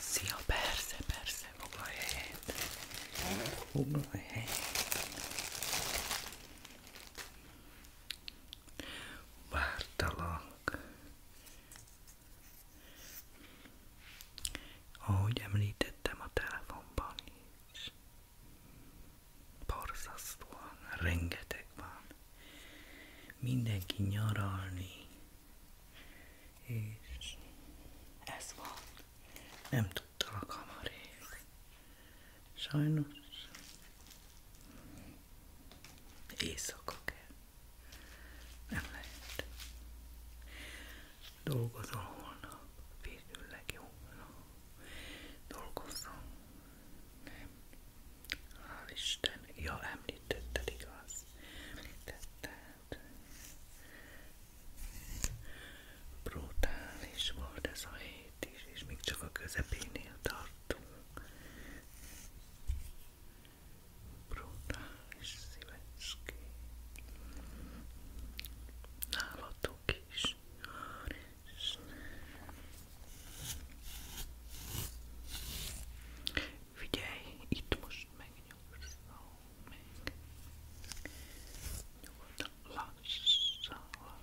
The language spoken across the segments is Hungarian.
Szia, persze, persze, foglalj helyet. Foglalj helyet. Vártalak. Ahogy említettem a telefonban is, borzasztóan rengeteg van. Mindenki nyaralni, és ez volt. Nem tudtam a hamarék. Sajnos. Éjszaka kell. Nem lehet. Dolgozom holnap. Végül legjobbna. Dolgozom. Nem. Hál' Isten. Ja, említetted, igaz? Brutális volt ez a hét is, és még csak a közepénél tartunk. Brutális szívecské. Nálatok is. Figyelj, itt most megint nyugodtan meg, nyugodtan lassan, lassan.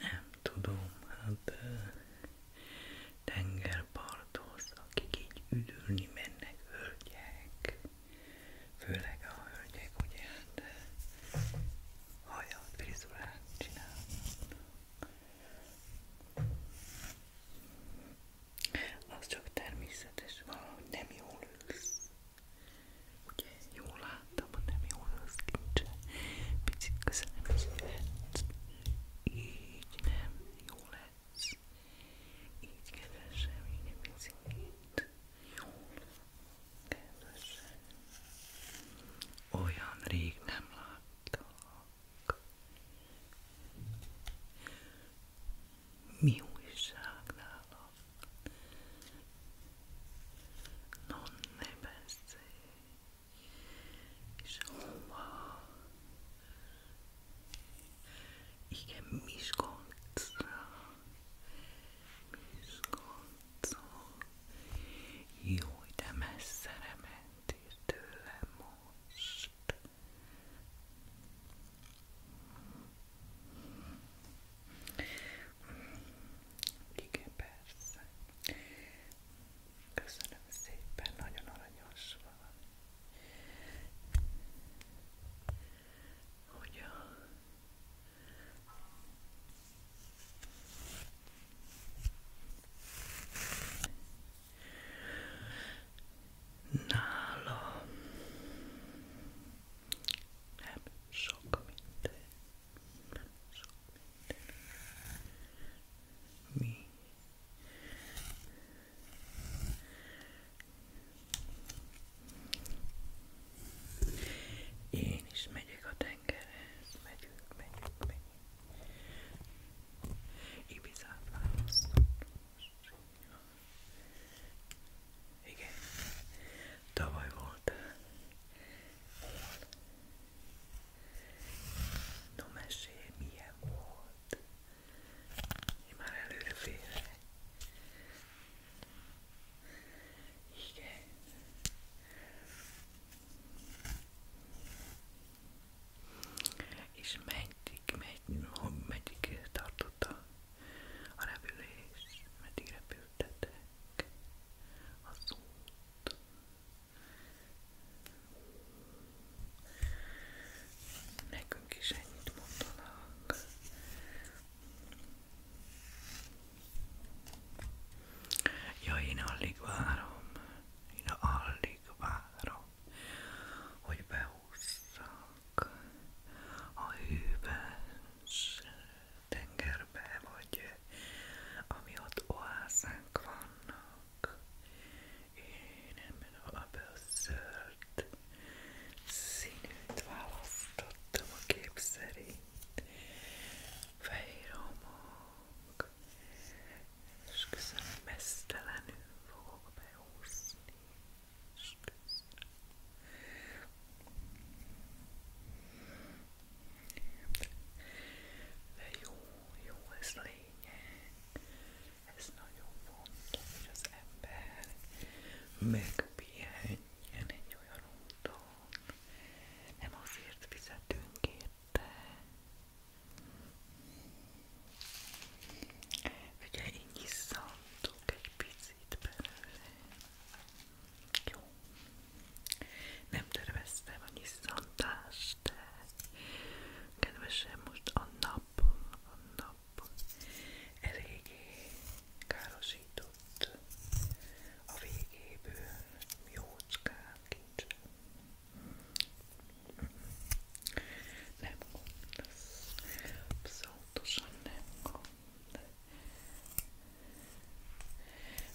Nem tudom, hát tengerparthoz, akik így üdülni mennek, hölgyek, Főleg a hölgyek, ugye, hát hajat, frizurát csinálnak. Az csak természetes, valahogy nem jól ülsz. Ugye, jól láttam, hogy nem jól ülsz kincse. Picit közelebb jöhetsz. Így nem, jól lehet lesz. Így kedvesem, így a picit. Kedvesem. Olyan rég nem láttalak. Mi újság nálam? Non ne beszélj. És hova igen, Miskolcra. Miskolcra. Jó, de messzere mentél tőlem most. Igen, persze. Köszönöm szépen, nagyon aranyos van hogy a nála nem sok minden, nem sok minden. Mi én is megyek a tengerhez, megyünk, megyünk, megyünk. Ibizát választom. Igen, tavaly voltál. No mesélj, milyen volt? Én már előre félek. Igen. És meddig, meddig, meddig tartott a, a repülés? Meddig repültetek az út? Nekünk is ennyit mondanak. Ja, én alig várom, én alig várom, hogy behúzzak a hűvös tengerbe, vagy ami ott oászánk vannak. Én ebben a bőször zöld színűt választottam a kép szerint. Fehér homok, és köszönöm, mesztelenül fogok behúzni, és köszönöm. De jó, jó, ez lényeg. Ez nagyon fontos, hogy az ember megpihenjen egy olyan úton. Nem azért fizetünk érte. Ugye így iszantok egy picit belőle. Jó. Nem terveztem a iszantást, de kedvesem most a nap, a nap nap eléggé károsított a végéből jócskán kincsen. Nem gond, ez abszolútosan nem gond.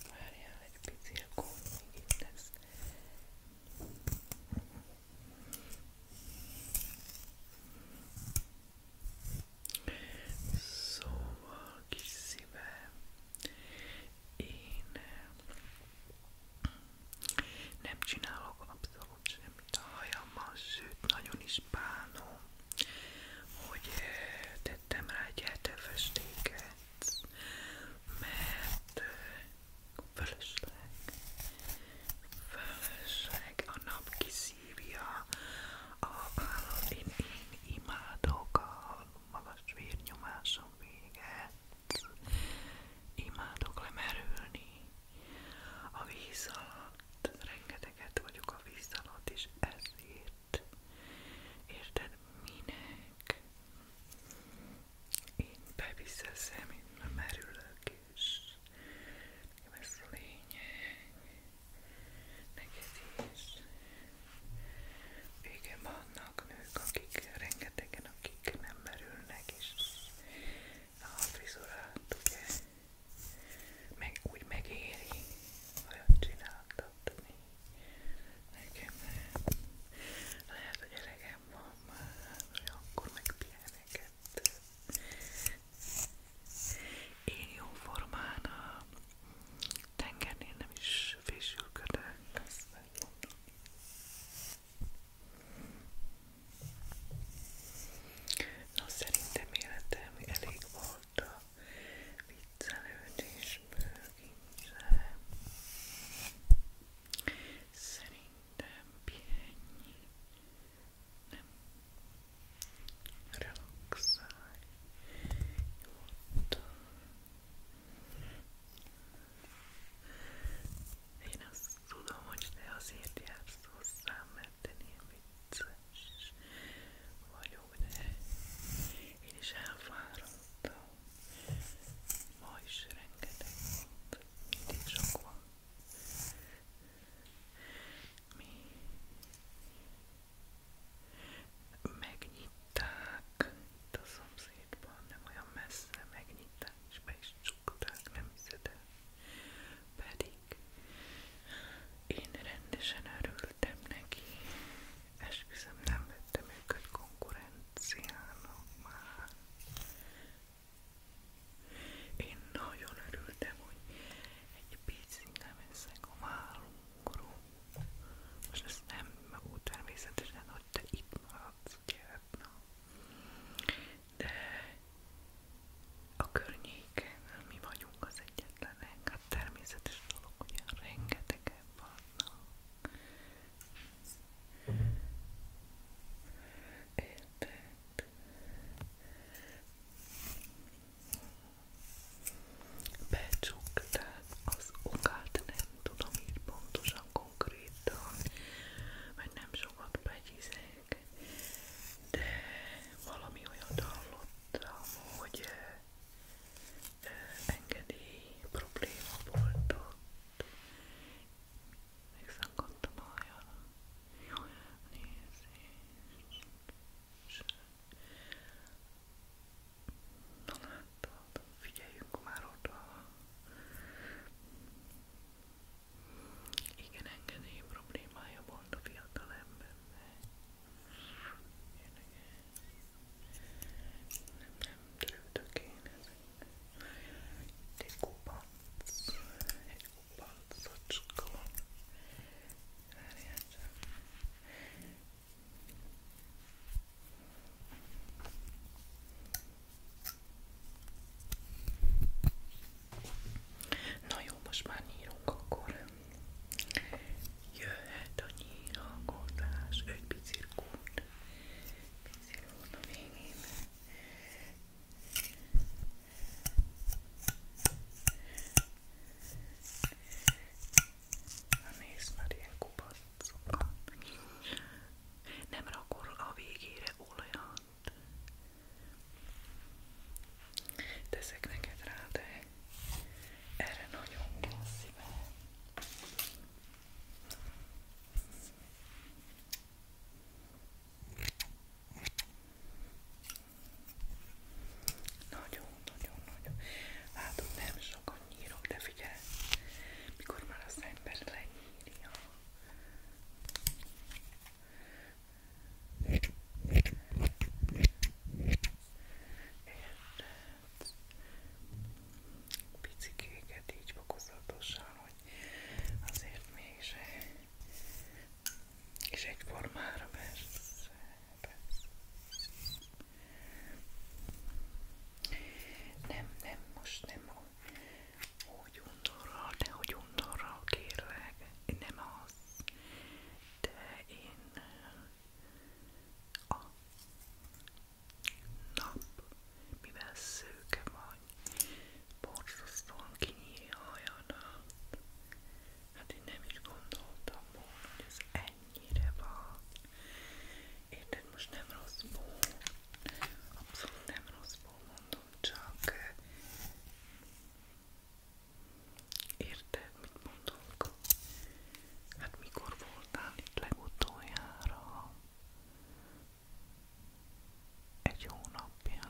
Várjál egy pici, akkor még itt lesz. Szóval kis szívem, én eh, nem csinálok abszolút semmit a hajammal, sőt nagyon is bánom, hogy eh, tettem rá egy festéket, mert eh, fölösleg, fölösleg a nap kis szívja a vállal. Én, én imádok a magas vérnyomásom véget. Imádok lemerülni a víz alatt. Rengeteget vagyok a víz alatt, és ezért érted minek? Én beviszeszem, én lemerülök, nekem ez a lényeg, neked is. Igen, vannak nők, akik rengetegen, akik nem merülnek, és a frizurát ugye meg, úgy megéri, olyan csináltatni. Nekem nem. Lehet, hogy elegem van már, hogy akkor megpihenek őket. Én jóformán a tengernél nem is fésülködök, azt megmondom. Na, szerintem életem elég volt a viccelődésből, kincse. Szerintem pihenj, nem relaxálj nyugodtan én azt tudom, hogy te azért jársz hozzám, mert te ilyen vicces vagyok, de én is elfáradtam ma is rengeteg volt, mindig sok van mi megnyitták itt a szomszédban, nem olyan messze megnyitták, és be is csukták, nem hiszed el. Pedig én rendesen örültem neki, esküszöm nem vettem őket konkurenciának már. Én nagyon örültem, hogy egy picikkel veszek a vállomról. Most ez nem magú természetesen, hogy te itt maradsz, gyerek, De a környéken mi vagyunk az egyetlenek, hát természetes dolog, hogy rengetegen vannak. Érted? becsuktál az okát, nem tudom így pontosan konkrétan, mert nem sokat begyizek, de valami olyat hallottam, hogy eh, eh, engedély probléma volt ott. Megszakadtam olyan, olyan nézést. Na látod, figyeljünk már oda. Igen, engedély problémája volt a fiatal embernek. Nem, nem törődök én ezeknek. Egy kupac, egy palcocskó. Várjál csak. Na jó, most már nyírunk akkor. Jöhet a nyílalkodás, egy picirkút. Picirkút a végén. Na nézd már ilyen kupacokat. Nem rakol a végére olajat. Teszek neked rá, de erre nagyon kell szívem. Nagyon-nagyon-nagyon. Látom, nem sokan nyírok, de figyelj, mikor már az ember lenyírja. Érted? Picikéket így fokozatosan, hogy azért mégse és egyformára persze, persze. Nem, nem, most nem úgy undorral, de hogy undorral kérlek, nem az, de én a nap, mivel szőke vagy, borzasztóan kinyílja a hajadat, Hát én nem is gondoltam volna, hogy ez ennyire van. Érted, most nem rosszból, abszolút nem rosszból mondom, csak érted, mit mondok? Hát mikor voltál itt legutoljára? Egy hónapja.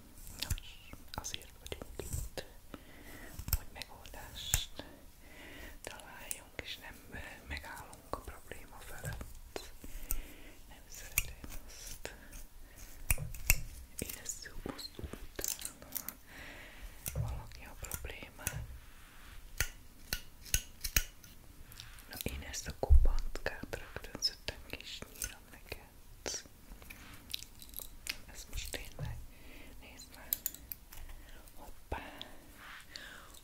Nos, azért vagyunk itt, hogy megoldást találjunk, és nem eh, megállunk a probléma felett. Nem szeretem azt. Érezzük azt utána valaki a problémát. Na én ezt a kopantkát rögtön szöttem és nyírom neked. Kedvenc. Ez most tényleg, nézd már. Hoppá,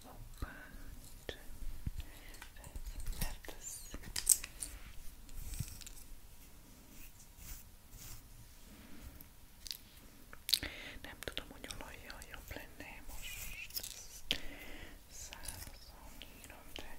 hoppá, mert ez... Nem tudom, hogy olajjal jobb lenne most. Szárazon írom, de...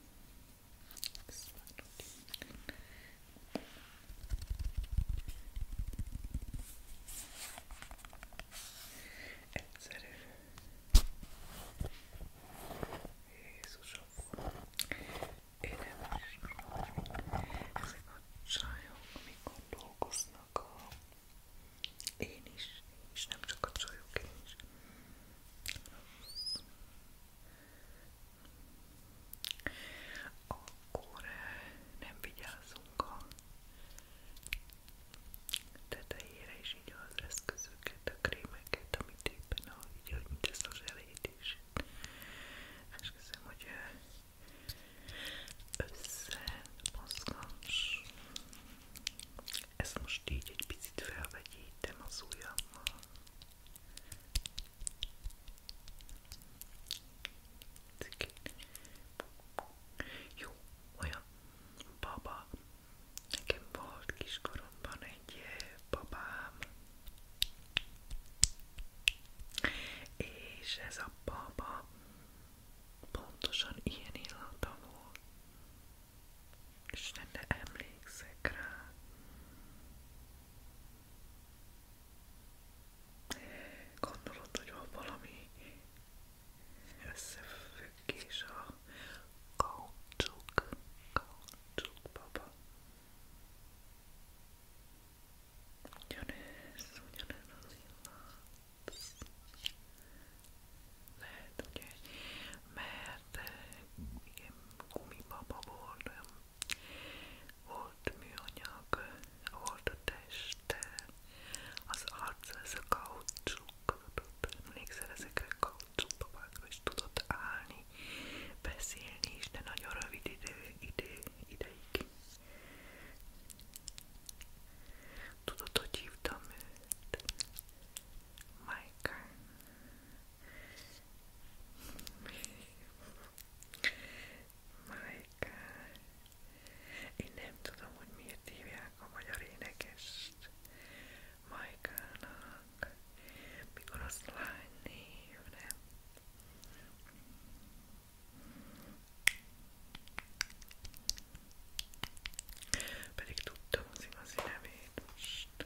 Egyszerű. Jézusom. Én nem is Ezek a csajok, amikor dolgoznak a... Én is, és nem csak a csajok, én is. Akkor eh, nem vigyázzunk a tetejére, és így az eszközöket, a krémeket, amit éppen a videó, mint ezt az elejét is. Esküszöm, hogy eh, össze mozgás. Ezt most így egy picit felvegyítem az ujjammal. Jó, olyan baba. Nekem volt kiskoromban egy eh, babám. És ez a baba pontosan ilyen illata volt. Isten, de emlékszek rá. Gondolod, hogy van valami összefüggés a kaucsuk, kaucsuk baba. Ugyanez, ugyanez az illat lehet ugye, mert eh, igen, gumibaba volt, eh, volt műanyag, eh, volt a test, az arc, ez a kaucsuk, emlékszel ezekre a kaucsukbabákra is tudott állni, beszélni is, de nagyon rövid idő, idő ideig. Tudod, hogy hívtam őt? marker. Marker. Én nem tudom, hogy miért hívják a magyar énekest Majkának, mikor az lány név, nem? Pedig tudtam az igazi nevét most.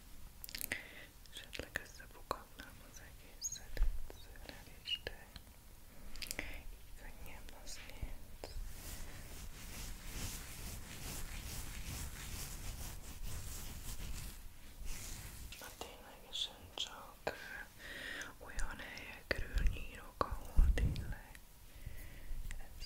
Esetleg összefoghatnám az egészet egyszerre is, de így könnyebb azért. Na ténylegesen csak olyan helyekről nyírok, ahol tényleg ez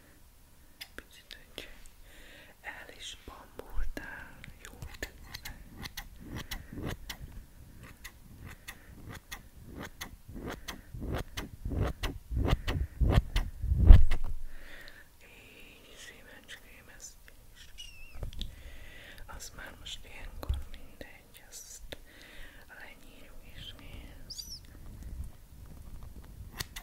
Picsit, hogy el is bambultál, jól tűzzel. Így, szívecském, ezt is. Az már most ilyenkor mindegy, azt lenyírjuk és nézd.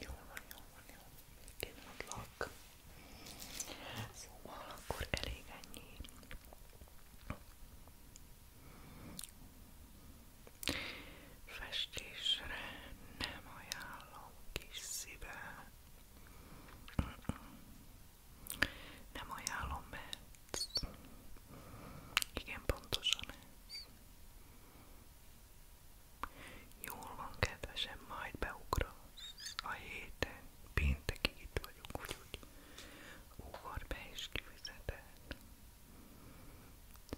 Jól van, jól van, jól van. Szóval akkor elég ennyi. Festésre nem ajánlom kis szíve. Nem ajánlom, mert igen pontosan ez. Jól van, kedvesem, majd beugrasz. A héten, péntekig itt vagyunk, úgyhogy ugor be és kifizeted.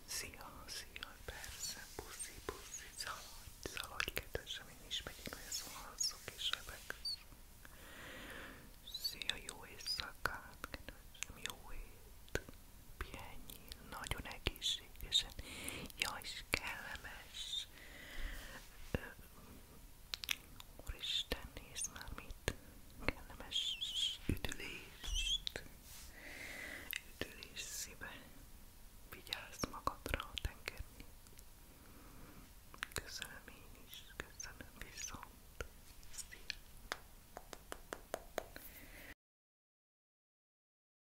Szia, szia, persze, puszi, puszi, szaladj, szaladj, kedvesem, én is megyek, hogy szólalszok és rebegsz. Szia, jó éjszakát, kedvesem, jó ét, pihenj nagyon egészségesen, jaj, és kellemes. Ö, úristen, nézd már mit, kellemes üdülést, üdülés szíve, vigyázz magadra a tengerni. Köszönöm én is, köszönöm viszont. Szia.